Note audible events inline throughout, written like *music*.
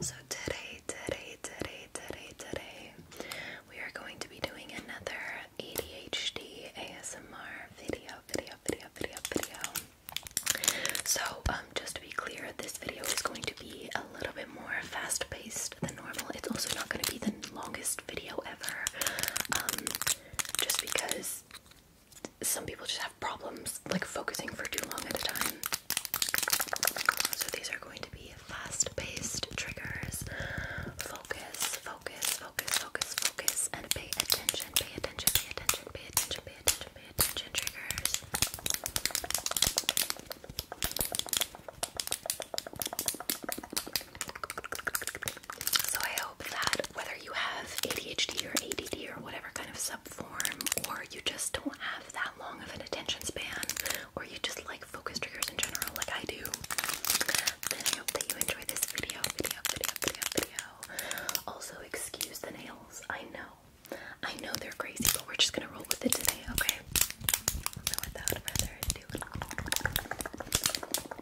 So today, today, today, today, today, we are going to be doing another ADHD ASMR video, video, video, video, video. So, um, just to be clear, this video is going to be a little bit more fast-paced than normal. It's also not going to be the longest video ever, um, just because some people just have problems like focusing for too long at a time. So these are going to be fast-paced triggers. Focus, focus, focus, focus, focus, and pay attention, pay attention, pay attention, pay attention, pay attention, pay attention, triggers. So I that whether you have ADHD or ADD or whatever kind of subform, or you just don't have that long of an attention span, or you just like focus triggers in general, like I do, then I hope that you enjoy this video, Also, excuse the nails. I know, I know they're crazy, but we're just gonna roll with it today, okay? without further ado.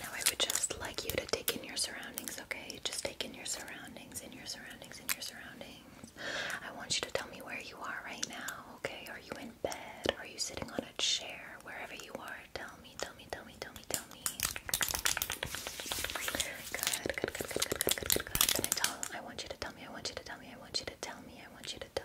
now I would just like you to take in your surroundings, okay? Just take in your surroundings, in your surroundings, in your surroundings. I want you to tell me where you are right now, okay? Are you in bed? Are you sitting on a chair? Wherever you are, tell me, tell me, tell me, tell me, tell me. Good, good, good, good, good, good, good, good, good. Can I tell? I want you to tell me, I want you to tell me, I want you to tell me, I want you to tell.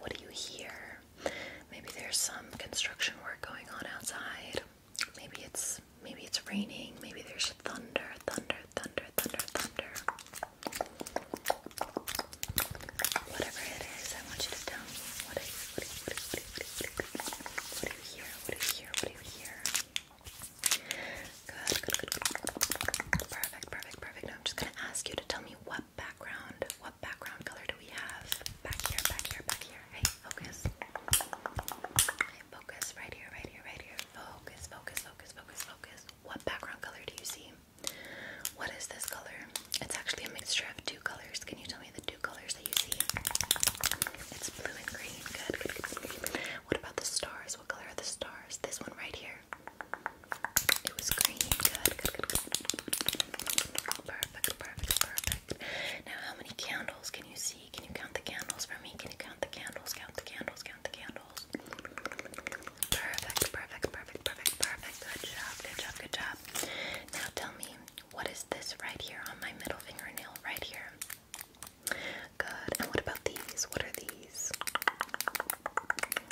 what do you hear? Maybe there's some construction work going on outside. Maybe it's maybe it's raining. Maybe there's thunder, thunder, thunder, thunder, thunder. Whatever it is, I want you to tell me what do you hear? What do you hear? What do you hear? Good, good, good, good. Perfect, perfect, perfect. Now I'm just gonna ask you tell me what background, what background color do we have? Back here, back here, back here. Hey, focus. focus. Right here, right here, right here. Focus, focus, focus, focus, focus. What background color do you see? What is this color? It's actually a mixture of two colors. Can you tell me the two colors that you see? It's blue and green. good. What about the stars? What color are the stars? This one right here. It was green. Good, Perfect, perfect, perfect. Now, how many candles can you see? Can you count the candles for me? Can you count the candles? Count the candles, count the candles. Perfect, perfect, perfect, perfect, perfect. Good job, good job, good job. Now, tell me, what is this right here on my middle fingernail? Right here. Good. And what about these? What are these?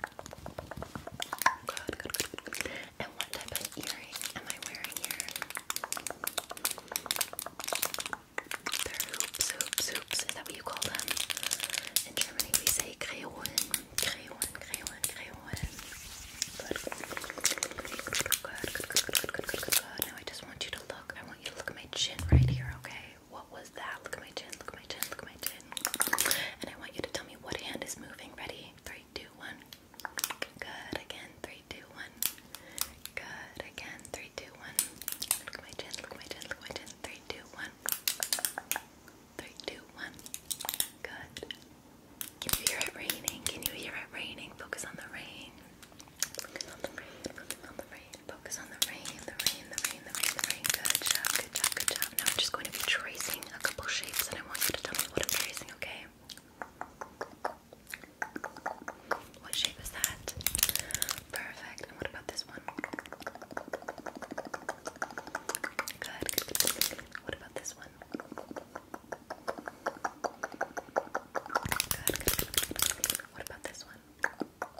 And what type of earring am I wearing here? They're hoops, hoops, hoops. Is that what you call them? In Germany, we say Kreolen, Kreolen, Kreolen, Kreolen. good, good, good, good, good, good, good. Now I just want you to look. I want you to look at my chin right here, okay? What was was that. Look at my chin, look at my chin, look at my chin. And I want you to tell me what hand is moving. Ready? Three, two, one. Good. Again. Three, two, one. Good. Again. Three, two, one. Look at my chin, look at my chin, look at my chin. Three, two, one. Three, two, one. Good. Can you hear it raining? Can you hear it raining? Focus on the rain. Focus on the rain. Focus on the rain. Focus on the rain. The rain. The rain. Good job, good job, good job. Now I'm just going to be tracing a couple shapes and I want you to tell me what I'm tracing, okay? What shape is that? Perfect. And what about this one? Good. What about this one? good. What about this one?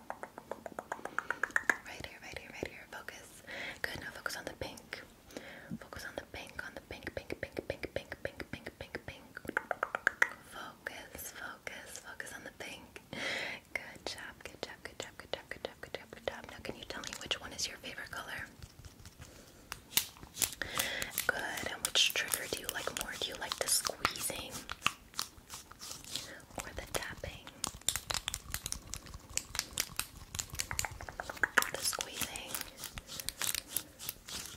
Right here, right here, right here. Focus. Good. Now focus on the pink. Focus on the pink, on the pink, pink, pink, pink, pink, pink, pink, pink, pink. Focus, focus, focus on the pink. Good job, good job, good job, good job, good job, good job, good job. Now can you tell me which one is your favorite color? Good. And which trigger do you like more? Do you like the squeezing? or the tapping, the squeezing,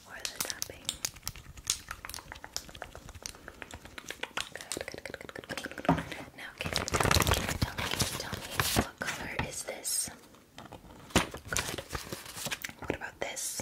or the tapping. Good, good, good, good, good, good, Now, can you tell me, tell me what color is this? Good. What about this?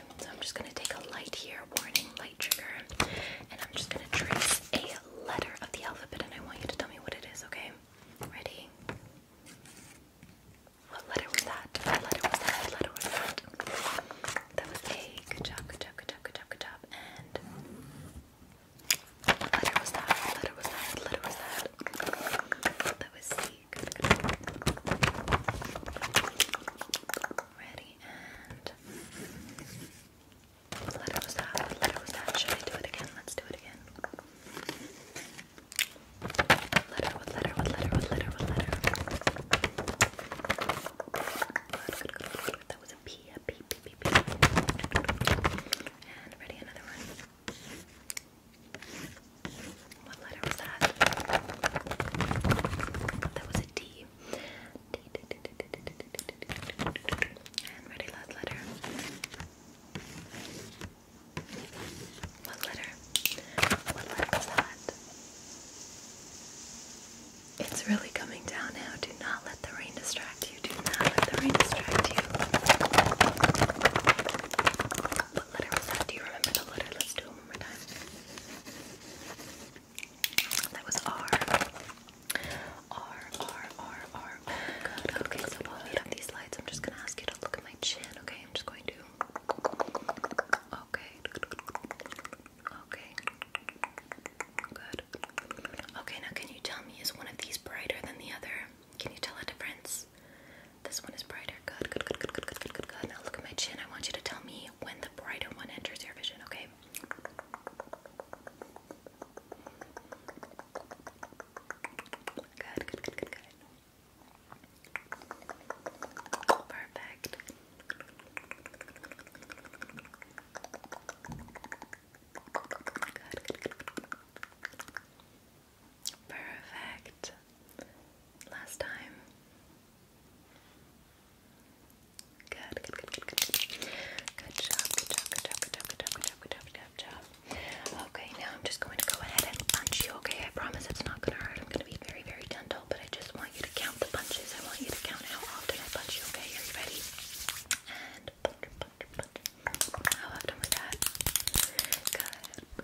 so I'm just going to take a light here, warning, light trigger, and I'm just going to trace a letter of the alphabet, and I want you to tell me what it is, okay? Ready? What letter was that? What letter was that? What letter was that? That was A. Good job, good job, good job, good job, good job. And what letter was that? What letter was that? What letter was that? That was C. Ready and letter was that. What letter was that? Should I do it again? Let's do it again. What letter? What letter? What letter? What letter? What letter? That was a P. A P. P. P. P. And ready another one. What letter was that? That was a D. D, D, D, D, D, D, D, D. And ready last letter. What letter? What letter was that? It's really coming down now. Do not let the rain distract you. Do not let the rain distract you. What letter was that? Do you remember the letter? Let's do one more time. That was R. R, R, R, Good. Okay, so while we have these lights, I'm just gonna ask you to look at my chin, okay? I'm just going to. Okay. Okay. Good. Okay, now can you tell me, is one of these brighter than the other? Can you tell a difference? This one is brighter. Good, good, good, good, good, good, good, good, good. Now look at my chin. I want you to tell me when the brighter one enters your vision, okay? Good, good, good, good, good. Perfect. Good, Perfect. Last time. Good, good, good, good, good. job, good job, good job, good job, good job, good job. Okay, now I'm just going to go ahead and punch you, okay? I promise it's not gonna hurt. I'm gonna be very, very gentle, but I just want you to count the punches. I want you to count how often I punch you, okay? Are you ready? And punch, punch, punch. How often was that? Good.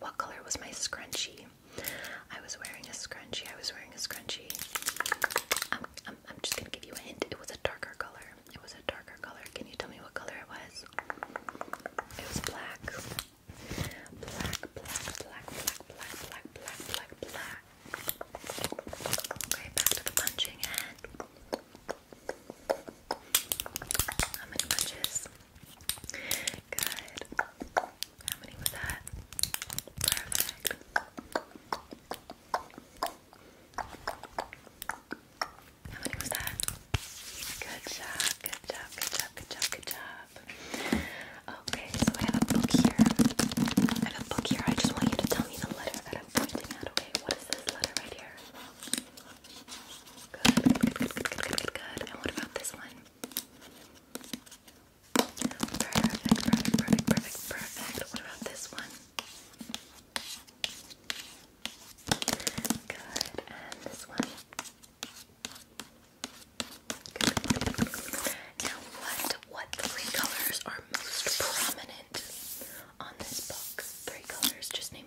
What color was my scrunchie? I was wearing a scrunchie. I was wearing a scrunchie. I'm, just gonna give you a hint. It was a darker color. It was a darker color. Can you tell me what color it was? It was black. Black, black, black, black, black, black, black, black, black. Okay, back to the punching and how many punches? Good. How many was that? Perfect. How many was that? Good job, good job, good job, good job, good job. Okay, so I have a book here. I have a book here. I just want you to tell me the letter that I'm pointing at, okay? What is this letter right here? Good, good, good, good, good, good, good. And what about this one? Perfect, perfect, perfect, perfect, perfect. What about this one? Good, and this one. Now, what what three colors are most prominent on this box? Three colors. Just name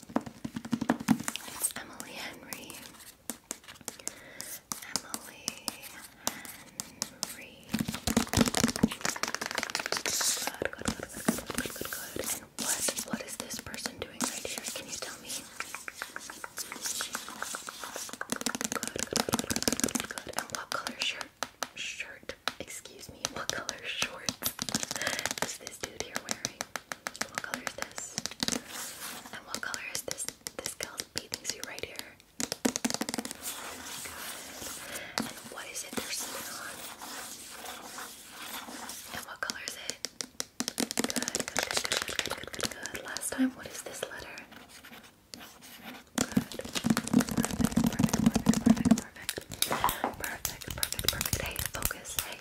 Emily Henry. Emily Henry. Good, good, good, good, good, good, good, And what, what is this person doing right here? Can you tell me? Good, good, good, good, good, good, good, And what color shirt? Shirt? Excuse me. What color shorts is this dude here wearing? What color is this? And what color is this? This girl's bathing suit right here. And what is it they're sitting on? And what color is it? Good, good, good, good, good, good, Last time, what is this letter? perfect, perfect, perfect, perfect. Perfect, perfect, perfect. Hey, focus. Hey,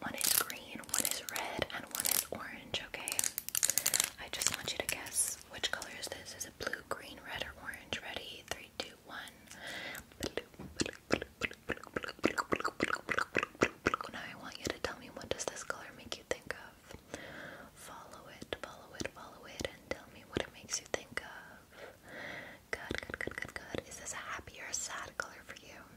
one is green, one is red, and one is orange, okay? I just want you to guess which color is this. Is it blue, green, red, or orange? Ready? Three, two, one. Now I want you to tell me what does this color make you think of? Follow it, follow it, follow it, and tell me what it makes you think of. Good, good, good, good, good. Is this a happy or sad color for you?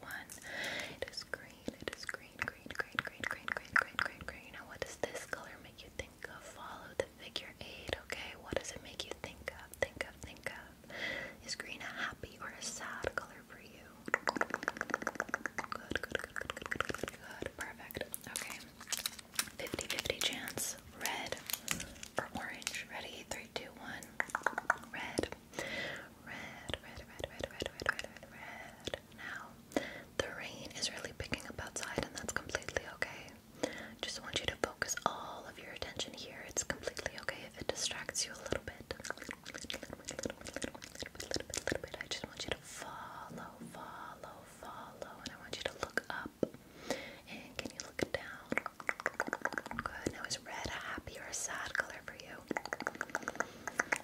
one. It is green, it is green, green, green, green, green, green, green, green, green. Now, what does this color make you think of? Follow the figure eight, okay? What does it make you think of? Think of, think of. Is green a happy or a sad color for you? Good, good, good, Perfect. Okay. 50 50 chance. Red or orange. Ready? 3, 2, 1. Red red, red, red, red, red, red, red, red, Now, the rain is really picking up outside, and that's completely okay. Just want you to focus all of your attention here. It's completely okay if it distracts you a little bit. I just want you to follow, follow, follow, and I want you to look up. And can you look down? Good. Now is red a happy or a sad color for you?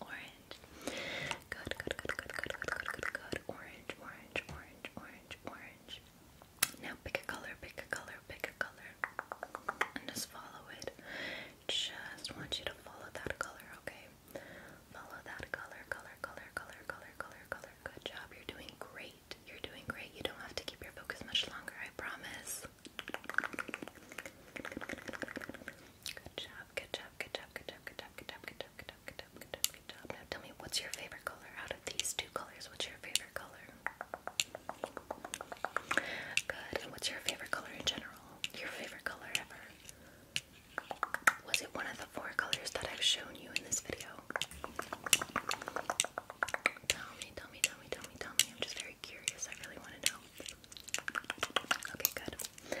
orange. Good, good, good, good, good, good, good, good, good. Orange, orange, orange, orange, orange. Now pick a color, pick a color, pick a color. And just follow it. Just want you to follow that color, okay? Follow that color, color, color, color, color, color, color. Good job. You're doing great. You're doing great. You don't have to keep your focus much longer, I promise. Good job, good job, good job, good job, good tell me what's your favorite color out of these two colors? What's your favorite color? Good. And what's your favorite color in general? Your favorite color ever? Was it one of the four colors that I've shown you in this video? Tell me, tell me, tell me, tell me, tell me. I'm just very curious. I really want to know. Okay, good.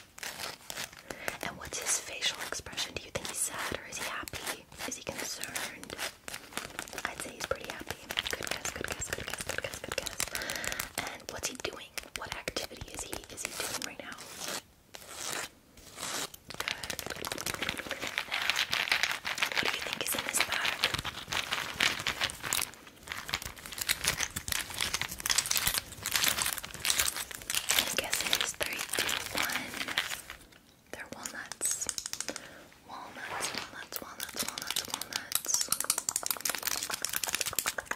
and what's his facial expression? Do you think he's sad or is he happy? Is he concerned? I'd say he's pretty happy. Good guess, good guess, good guess, good guess, good guess. And what's he doing? What activity is he is he doing right now? what do you think is in this bag? I guess it is three, two, one. They're walnuts. Walnuts, walnuts, walnuts, walnuts, walnuts.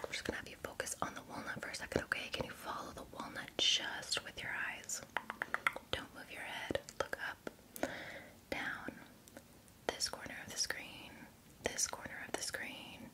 I'm just gonna have you focus on the walnut for a second, okay? Can you follow the walnut just with your eyes? Don't move your head. Look up, down, this corner of the screen, this corner of the screen,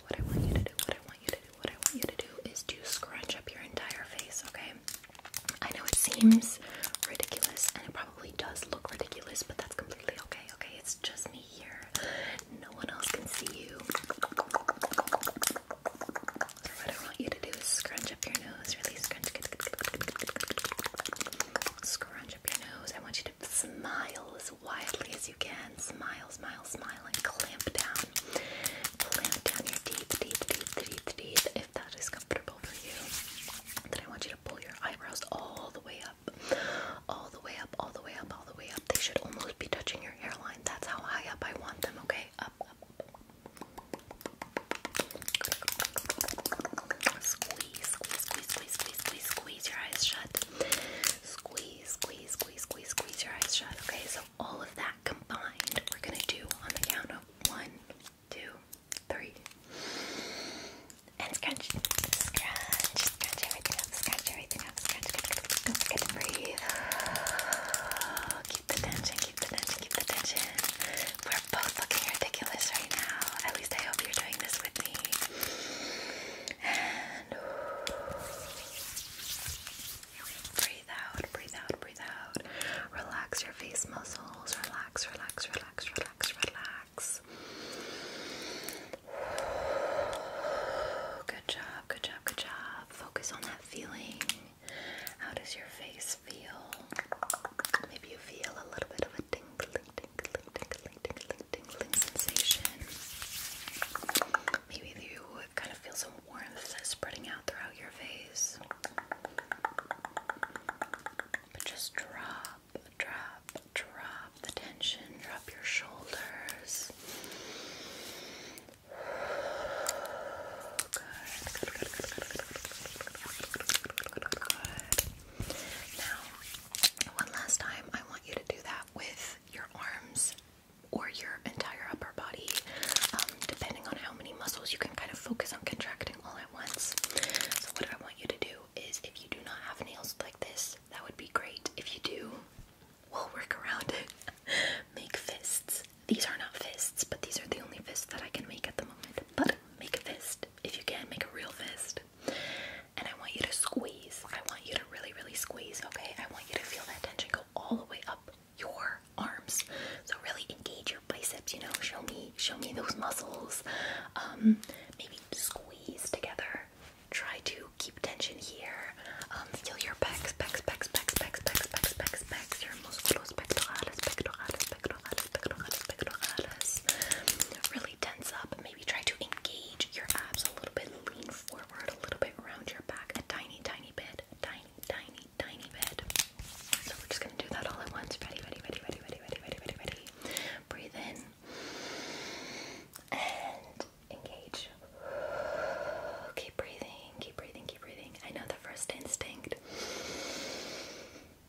what I want you to do, what I want you to do, what I want you to do is to scrunch up your entire face, okay? I know it seems ridiculous and it probably does look ridiculous, but that's completely okay, okay? It's just me here. No one else can see you. So what I want you to do is scrunch up your nose, really scrunch. Scrunch up your nose. I want you to smile widely as you can. Smile, smile, smile, and clamp down. Clamp down your teeth, teeth, teeth, teeth, teeth, if that is comfortable for you. Then I want you to pull your eyebrows all the way up. All the way up, all the way up, all the way up. They should almost be touching your hairline. That's how high up I want them, okay? Up, up squeeze, squeeze, squeeze, squeeze, squeeze, squeeze, your eyes shut. Squeeze, squeeze, squeeze, squeeze, squeeze your eyes shut. Okay, so all of that combined, we're gonna do on the count of one, two, three. And scratch, scratch, scratch everything up, scratch everything up, scratch, don't forget to breathe. Keep the tension, keep the tension, keep the tension. We're both looking ridiculous right now. At least I hope you're doing this with me. And breathe out, breathe out, breathe out. Relax your face muscles. Relax, relax, relax, relax, relax. Good job, good job, good job. Focus on that feeling. How does your face feel? Maybe you feel a little bit of a tingling, tingling, tingling, tingling, tingling sensation. Maybe you kind of feel some warmth spreading out throughout your face. just drop, drop, drop the tension, drop your shoulders. good, good. Now, one last time, I want you to do that with your arms or your entire upper body, um, depending on how many muscles you can kind of focus on contracting all at once. So, what I want you to do is if you do not have nails like this, that would be great. If you do, we'll work around it. *laughs* make fists. These are not fists, but these are the only fists that I can make at the moment. But make a fist. If you can, make a real fist and I want you to squeeze. I want you to really, really squeeze, okay? I want you to feel that tension go all the way up your arms. So really engage your biceps, you know, show me, show me those muscles. Um, maybe squeeze together. Try to keep tension here. Um, feel your pecs, pecs, pecs, pecs, pecs, pecs, pecs, pecs, pecs, your muscles, pectorales, pectorales, pectorales, Really tense up, maybe try to engage your abs a little bit, lean forward a little bit, round your back a tiny, tiny bit, tiny, tiny, tiny bit. So we're just gonna do that all at once. ready, ready, ready, ready, ready, ready, ready, ready. Breathe in and engage. Keep breathing, keep breathing, keep breathing. I know the first instinct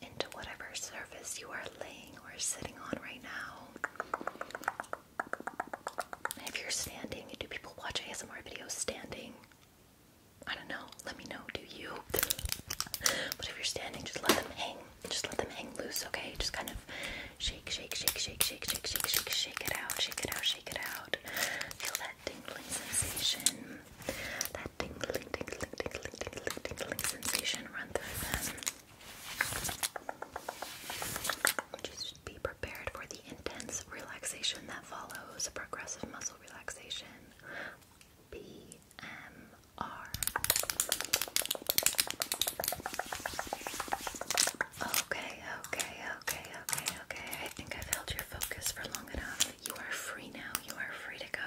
into whatever surface you are laying or sitting on right now. If you're standing, do people watch ASMR videos standing? I don't know. Let me know. Do you? but if you're standing, just let them hang. Just let them hang loose, okay? Just kind of shake, shake, shake, shake, shake, shake, shake, shake, shake it out, shake it out, shake it out. Feel that tingling sensation that tingling, tingling, tingling, tingling, tingling sensation run through them. Just be prepared for the intense relaxation that follows progressive muscle relaxation. BMR. Okay, okay, okay, okay, okay. I think I've held your focus for long enough. You are free now. You are free to go.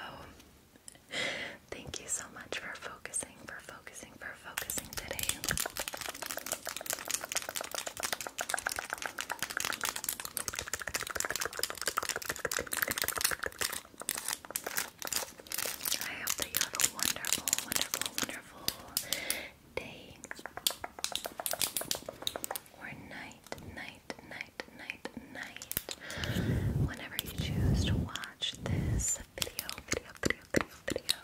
*laughs* Thank you so much for focusing, for focusing, for focusing today. I hope you have a wonderful, wonderful, wonderful day or night, night, night, night, night, Whenever you choose to watch this video, video, video, video, video.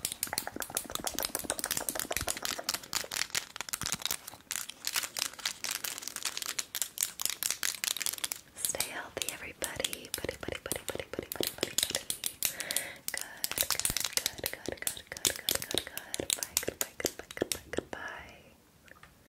Stay healthy, everybody. Buddy, buddy, buddy, buddy, buddy, buddy, buddy, buddy. Good, good, good, good, good, good, good, good, good. goodbye, goodbye, goodbye, goodbye.